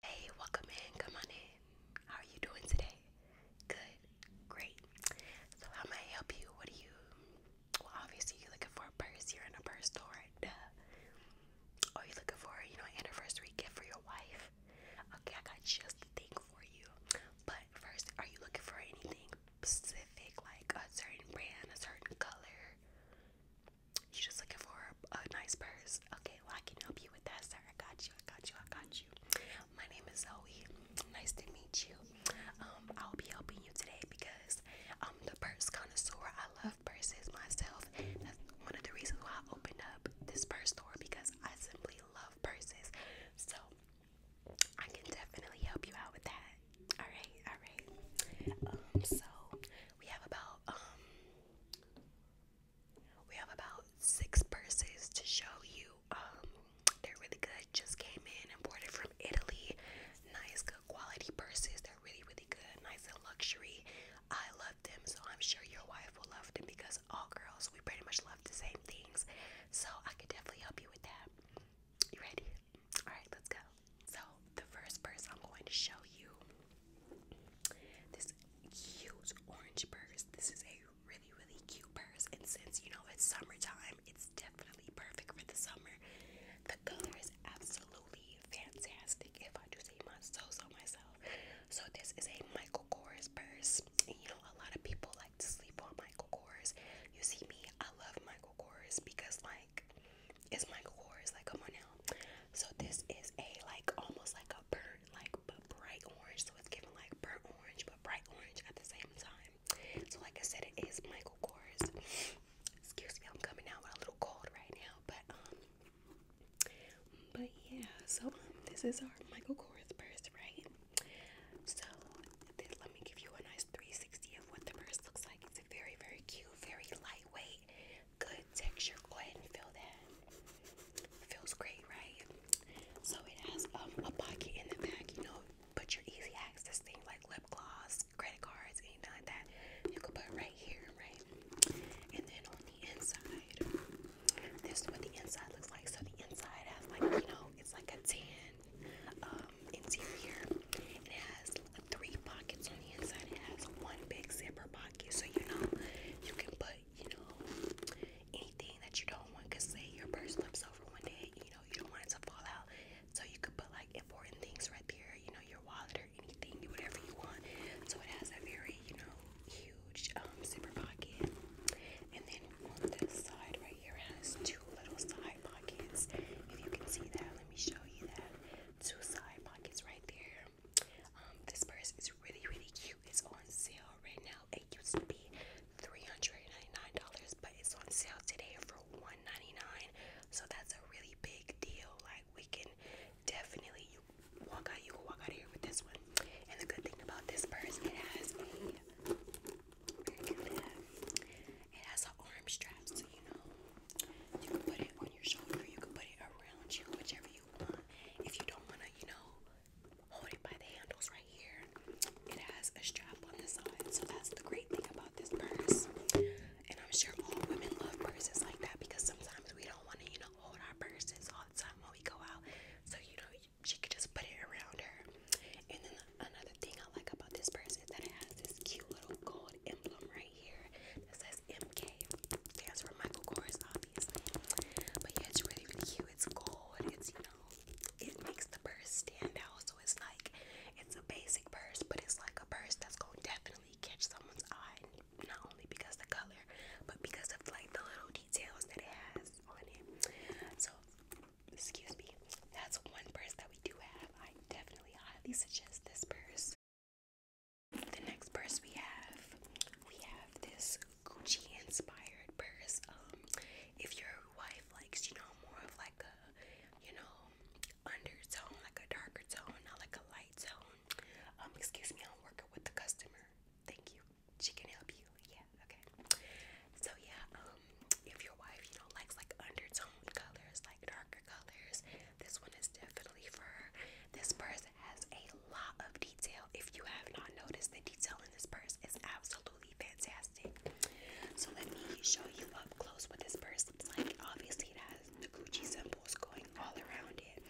Hey, welcome in. Come on in. How are you doing today? Good. Great. So how may I help you? What do you well obviously you're looking for a purse, you're in a purse store, duh. Or you looking for, you know, an anniversary gift for your wife. Okay, I got just the thing for you. But first, are you looking for anything specific, like a certain brand, a certain color? You just looking for a, a nice purse? Okay, well I can help you with that, sir. I got you, I got you, I got you. My name is Zoe. Nice to meet you. Um, I'll be helping you today because I'm um, the purse connoisseur. I love purses myself. That's one of the reasons why I opened up this purse store because I simply love purses. So I can definitely help you out with that. Alright, alright. Um, so we have about we have about six purses to show you. Um, they're really good. Just came in, imported from Italy. Nice, good quality purses. They're really, really good. Nice and luxury. I love them, so I'm sure your wife will love them because all girls, we pretty much love the same things. So I can definitely help you with that. You ready? Alright, let's go. So, the first purse I'm going to show you this cute orange purse. This is a really, really cute purse. And since you know it's summertime, it's definitely perfect for the summer. The color is absolutely fantastic, if I do say my so so myself. So this is a Michael Kors purse. And you know, a lot of people like to sleep on Michael Kors. You see me, I love Michael Kors because like it's Michael Kors, like come on now. So this is a like almost like a a like but bright orange, so it's giving like burnt orange but bright orange at the same time. So like I said, it is Michael Kors. Excuse me, I'm coming out with a little cold right now, but um, but yeah. So um, this is our Michael Kors purse, right? So let me give you a nice 360 of what the purse looks like. It's very very cute, very lightweight, good texture. Go ahead and feel that. Feels great, right? So it has um, a pocket in the back, you know, put your easy access thing like lip gloss, credit cards, anything like that. You can put right here, right? And then on the inside, this is what the inside looks like. So the inside has like, you know, it's like a tan um, interior. It has three pockets on the inside. It has one big zipper pocket, so you know you can put you know, anything that you don't want. Cause say your purse flips over one day, you know, you don't want it to fall out. So you could put like important things right there, you know, your wallet or anything, whatever you want. So it has a very, you know, huge um zipper pocket. And then on this side right here has two little side pockets. If you can see that, let me show you that. Two side pockets right there. Um, this purse is really, really cute. It's on sale right now sale. It used to be $399, but it's on sale today for $199. So that's a really big deal. Like we can definitely you walk out, you can walk out of here with this one. And the good thing about this purse, it has a it has an arm strap, so you know you can put it on your shoulder, you can put it around you, whichever you want. If you don't wanna, you know, hold it by the handles right here. It has a strap on the side, so that's the great thing about this purse. And I'm sure all women love purses like that because sometimes we don't want to, you know, hold our purses all the time when we go out. So, you know, she could just put it around her. And then another thing I like about this purse is that it has this cute little gold emblem right here that says MK. Stands for Michael Kors but yeah, it's really, really cute. It's gold. It's, you know, it makes the purse stand out. So it's like, it's a basic purse, but it's like a purse that's going to definitely catch someone's eye. Not only because the color, but because of like the little details that it has on it. So, excuse me. That's one purse that we do have. I definitely highly suggest this purse. The next purse we have, we have this Gucci inspired purse. Um, if your wife likes, you know, more of like a, you know, undertone, like a darker tone, not like a light tone. Um, excuse me, I'm working with the customer. Thank you. She can help you. Yeah. Okay. So yeah. Um, if your wife, you know, likes like undertone colors, like darker colors, this one is definitely for This person has a lot of detail. If you have not noticed, the detail in this purse is absolutely fantastic. So let me show you up close what this purse looks like. Obviously, it has the Gucci symbols going all around it.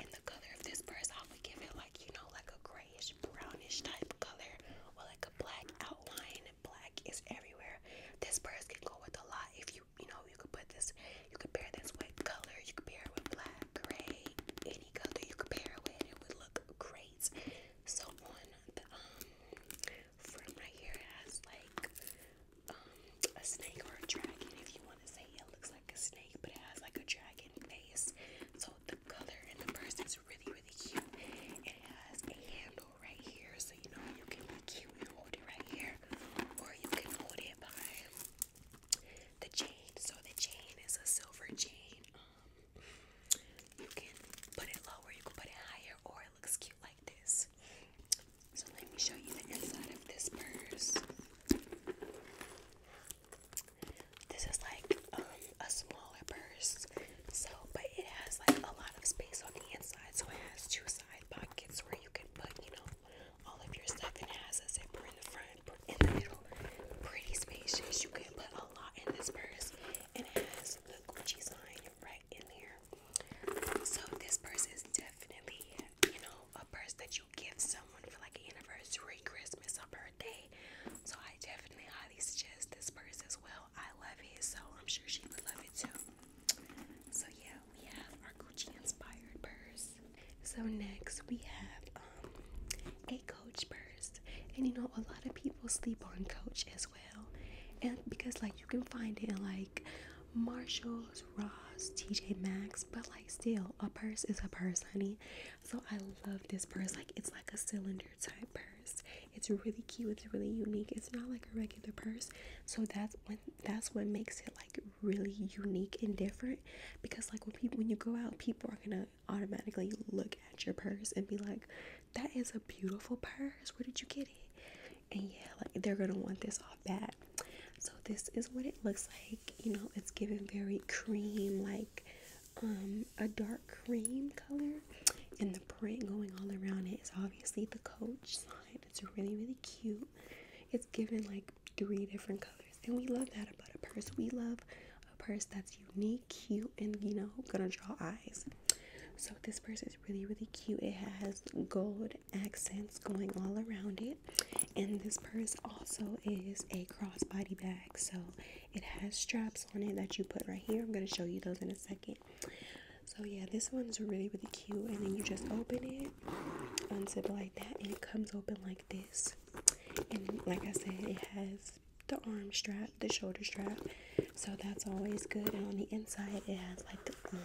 And the color of this purse, I would give it like, you know, like a grayish, brownish type color or like a black outline. Black is everywhere. This purse can go with a lot if you, you know, you could put this, you could pair this with color, you could pair it with black, gray, any color you could pair it with, it would look great. So one, um, from right here has like um, a snake or a dragon. If you want to say it looks like a snake, but it has like a dragon face. So the color and the purse is really really cute. It has a handle right here, so you know you can be cute and hold it right here, or you can hold it by the chain. So the chain is a silver chain you can put it lower, you can put it higher, or it looks cute like this. So let me show you the inside of this purse. This is like um, a smaller purse, so but it has like a lot of space on the inside, so it has two side pockets where you can put, you know, all of your stuff. It has a zipper in the front in the middle. Pretty spacious. You can put a lot in this purse. And it has the Gucci sign right in there. So this purse is definitely, you know, a purse that you give someone for like an anniversary, Christmas, or birthday. So I definitely highly suggest this purse as well. I love it, so I'm sure she would love it too. So yeah, we have our Gucci inspired purse. So next we have um, a Coach purse, and you know a lot of people sleep on Coach as well, and because like you can find it in like Marshalls, Ross, TJ Maxx, but like still a purse is a purse, honey. So I love this purse. Like it's like a cylinder type purse. It's really cute. It's really unique. It's not like a regular purse. So that's when that's what makes it like really unique and different. Because like when people when you go out, people are gonna automatically look at your purse and be like, that is a beautiful purse. Where did you get it? And yeah, like they're gonna want this all bat. So this is what it looks like. You know, it's given very cream, like um a dark cream color. And the print going all around it is obviously the coach sign. It's really, really cute. It's given like three different colors and we love that about a purse we love a purse that's unique cute and you know gonna draw eyes so this purse is really really cute it has gold accents going all around it and this purse also is a crossbody bag so it has straps on it that you put right here i'm going to show you those in a second so yeah this one's really really cute and then you just open it unzip it like that and it comes open like this and like I said, it has the arm strap, the shoulder strap, so that's always good. And on the inside, it has like um,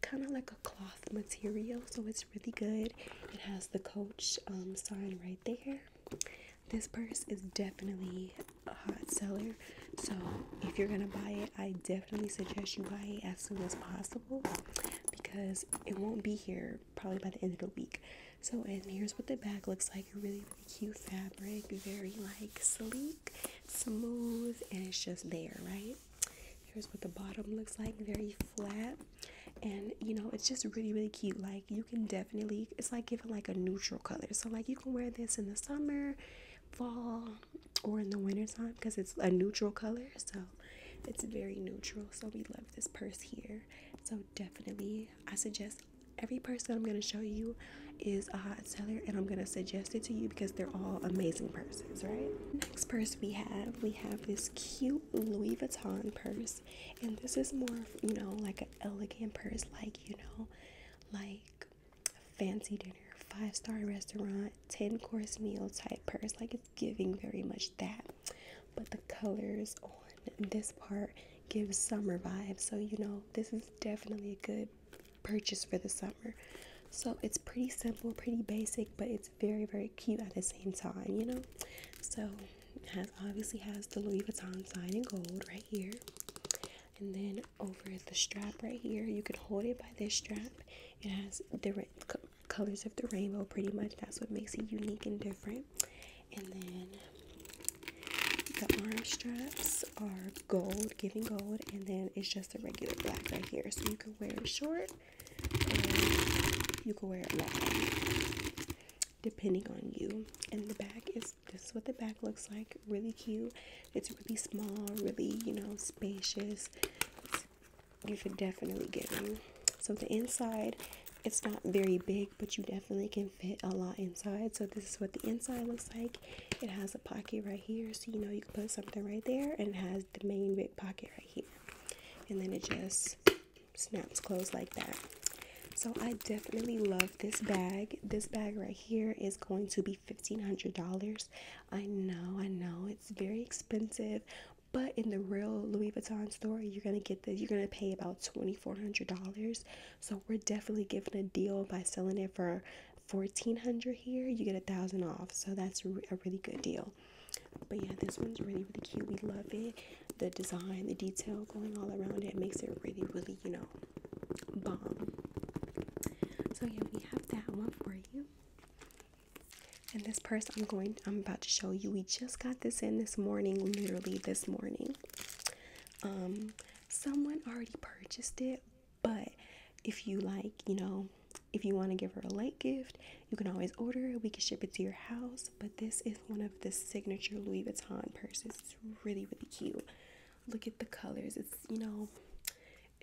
kind of like a cloth material, so it's really good. It has the Coach um, sign right there. This purse is definitely a hot seller, so if you're gonna buy it, I definitely suggest you buy it as soon as possible because it won't be here probably by the end of the week. So, and here's what the bag looks like. A really, really cute fabric, very like sleek, smooth, and it's just there, right? Here's what the bottom looks like, very flat. And you know, it's just really, really cute. Like you can definitely it's like giving like a neutral color. So like you can wear this in the summer, fall, or in the winter time because it's a neutral color. So it's very neutral so we love this purse here so definitely i suggest every purse that i'm going to show you is a hot seller and i'm going to suggest it to you because they're all amazing purses right next purse we have we have this cute louis vuitton purse and this is more you know like an elegant purse like you know like fancy dinner five star restaurant 10 course meal type purse like giving very much that. But the colors on this part gives summer vibes. So, you know, this is definitely a good purchase for the summer. So it's pretty simple, pretty basic, but it's very, very cute at the same time, you know? So has obviously has the Louis Vuitton sign in gold right here. And then over the strap right here, you can hold it by this strap. It has the different colors of the rainbow pretty much that's what makes it unique and different and then the arm straps are gold giving gold and then it's just a regular black right here so you can wear it short and you can wear it long depending on you and the back is this is what the back looks like really cute it's really small really you know spacious you could definitely get them so the inside it's not very big, but you definitely can fit a lot inside. So this is what the inside looks like. It has a pocket right here, so you know you can put something right there, and it has the main big pocket right here. And then it just snaps closed like that. So I definitely love this bag. This bag right here is going to be $1,500. I know, I know, it's very expensive, but in the real Louis Vuitton store, you're gonna get this. You're gonna pay about twenty four hundred dollars. So we're definitely giving a deal by selling it for fourteen hundred here. You get a thousand off. So that's a really good deal. But yeah, this one's really really cute. We love it. The design, the detail going all around it makes it really really you know bomb. So yeah, we have that one for you. And this purse I'm going I'm about to show you. We just got this in this morning, literally this morning. Um someone already purchased it, but if you like, you know, if you want to give her a late gift, you can always order it. We can ship it to your house. But this is one of the signature Louis Vuitton purses. It's really, really cute. Look at the colors. It's, you know,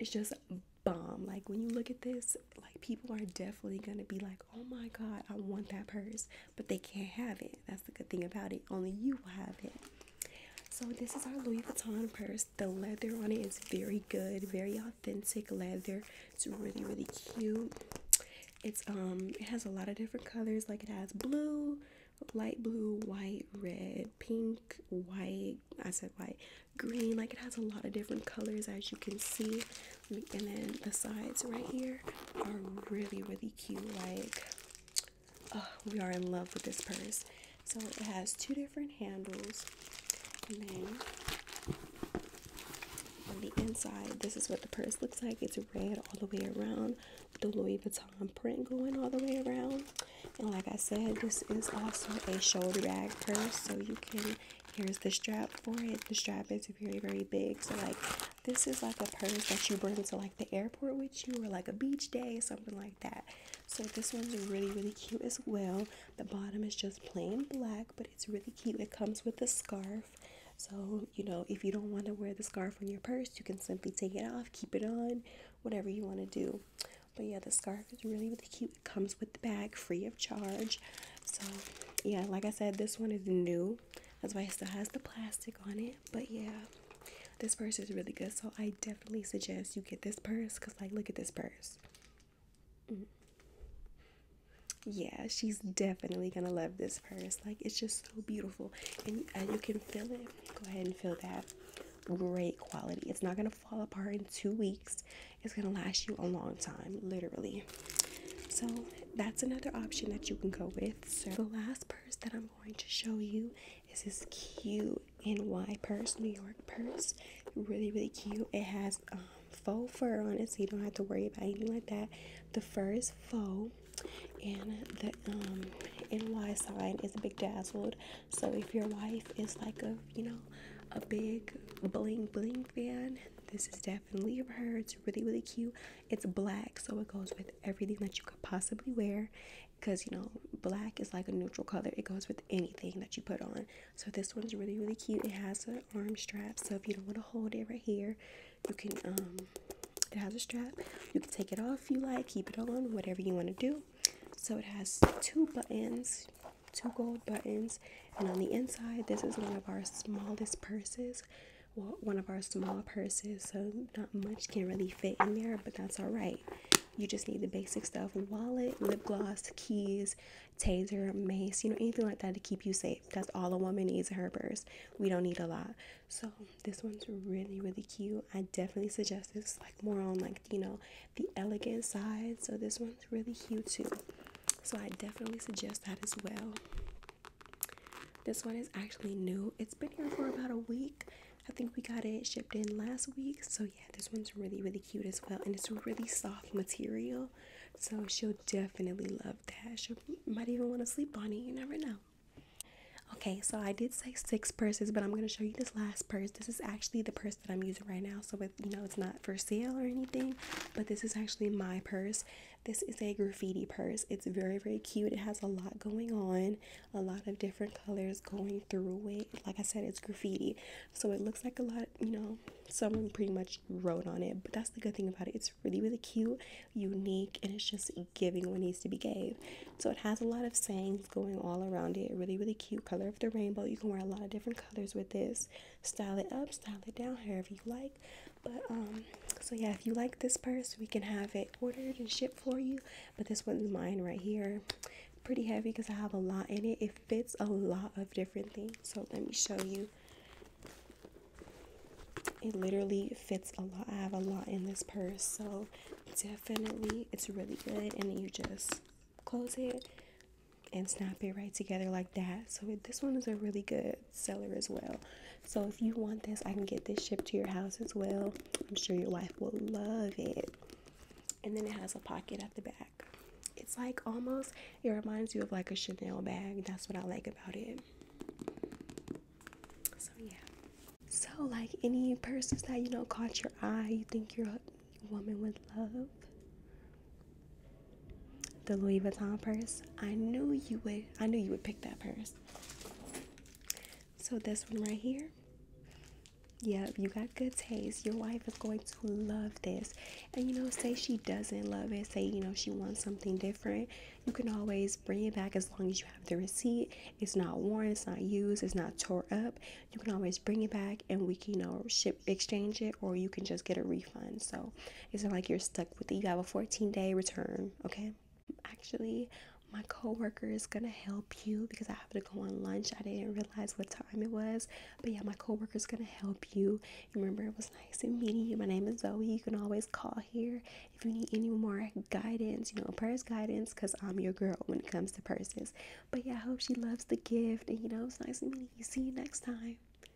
it's just bomb. Like when you look at this, like people are definitely going to be like, oh my God, I want that purse, but they can't have it. That's the good thing about it. Only you will have it. So this is our Louis Vuitton purse. The leather on it is very good, very authentic leather. It's really, really cute. It's um, it has a lot of different colors. Like it has blue, light blue, white, red, pink, white. I said white, green. Like it has a lot of different colors as you can see and then the sides right here are really really cute like we are in love with this purse so it has two different handles and then on the inside this is what the purse looks like it's red all the way around the Louis Vuitton print going all the way around and like I said this is also a shoulder bag purse so you can Here's the strap for it. The strap is very, very big. So, like, this is like a purse that you bring to like the airport with you or like a beach day, something like that. So, this one's really, really cute as well. The bottom is just plain black, but it's really cute. It comes with a scarf. So, you know, if you don't want to wear the scarf on your purse, you can simply take it off, keep it on, whatever you want to do. But yeah, the scarf is really, really cute. It comes with the bag free of charge. So, yeah, like I said, this one is new. That's why it still has the plastic on it. But yeah, this purse is really good. So I definitely suggest you get this purse because, like, look at this purse. Mm. Yeah, she's definitely gonna love this purse. Like, it's just so beautiful, and you can feel it. Go ahead and feel that great quality. It's not gonna fall apart in two weeks. It's gonna last you a long time, literally. So that's another option that you can go with. So the last purse that I'm going to show you is this cute NY purse, New York purse. Really, really cute. It has um, faux fur on it, so you don't have to worry about anything like that. The fur is faux, and the um, NY sign is a big dazzled. So if your wife is like a, you know, a big bling bling fan, this is definitely of hers really, really cute. It's black, so it goes with everything that you could possibly wear because you know, black is like a neutral color, it goes with anything that you put on. So, this one's really, really cute. It has an arm strap, so if you don't want to hold it right here, you can, um, it has a strap. You can take it off if you like, keep it on, whatever you want to do. So, it has two buttons two gold buttons and on the inside this is one of our smallest purses well one of our small purses so not much can really fit in there but that's all right you just need the basic stuff wallet lip gloss keys taser mace you know anything like that to keep you safe that's all a woman needs in her purse we don't need a lot so this one's really really cute i definitely suggest this like more on like you know the elegant side so this one's really cute too so i definitely suggest that as well this one is actually new. It's been here for about a week. I think we got it shipped in last week. So yeah, this one's really, really cute as well. And it's really soft material. So she'll definitely love that. She might even want to sleep on it. You never know. Okay, so I did say six purses, but I'm going to show you this last purse. This is actually the purse that I'm using right now. So, it, you know, it's not for sale or anything, but this is actually my purse. This is a graffiti purse. It's very, very cute. It has a lot going on, a lot of different colors going through it. Like I said, it's graffiti. So it looks like a lot, you know, someone pretty much wrote on it. But that's the good thing about it. It's really, really cute, unique, and it's just giving what needs to be gave. So it has a lot of sayings going all around it. Really, really cute color of the rainbow. You can wear a lot of different colors with this. Style it up, style it down, however you like but um so yeah if you like this purse we can have it ordered and shipped for you but this one's mine right here pretty heavy because i have a lot in it it fits a lot of different things so let me show you it literally fits a lot i have a lot in this purse so definitely it's really good and you just close it and snap it right together like that so this one is a really good seller as well. So if you want this, I can get this shipped to your house as well. I'm sure your wife will love it. And then it has a pocket at the back. It's like almost it reminds you of like a Chanel bag. That's what I like about it. So yeah. So like any purses that you know caught your eye, you think your woman would love. The Louis Vuitton purse. I knew you would. I knew you would pick that purse. So this one right here. Yep, you got good taste. Your wife is going to love this. And you know, say she doesn't love it, say you know she wants something different. You can always bring it back as long as you have the receipt. It's not worn, it's not used, it's not tore up. You can always bring it back and we can know ship exchange it or you can just get a refund. So it's not like you're stuck with it. You have a 14 day return, okay? Actually, my coworker is gonna help you because I have to go on lunch. I didn't realize what time it was, but yeah, my coworker is gonna help you. Remember, it was nice meeting you. My name is Zoe. You can always call here if you need any more guidance, you know, purse guidance, because I'm your girl when it comes to purses. But yeah, I hope she loves the gift, and you know, it's nice meeting you. See you next time.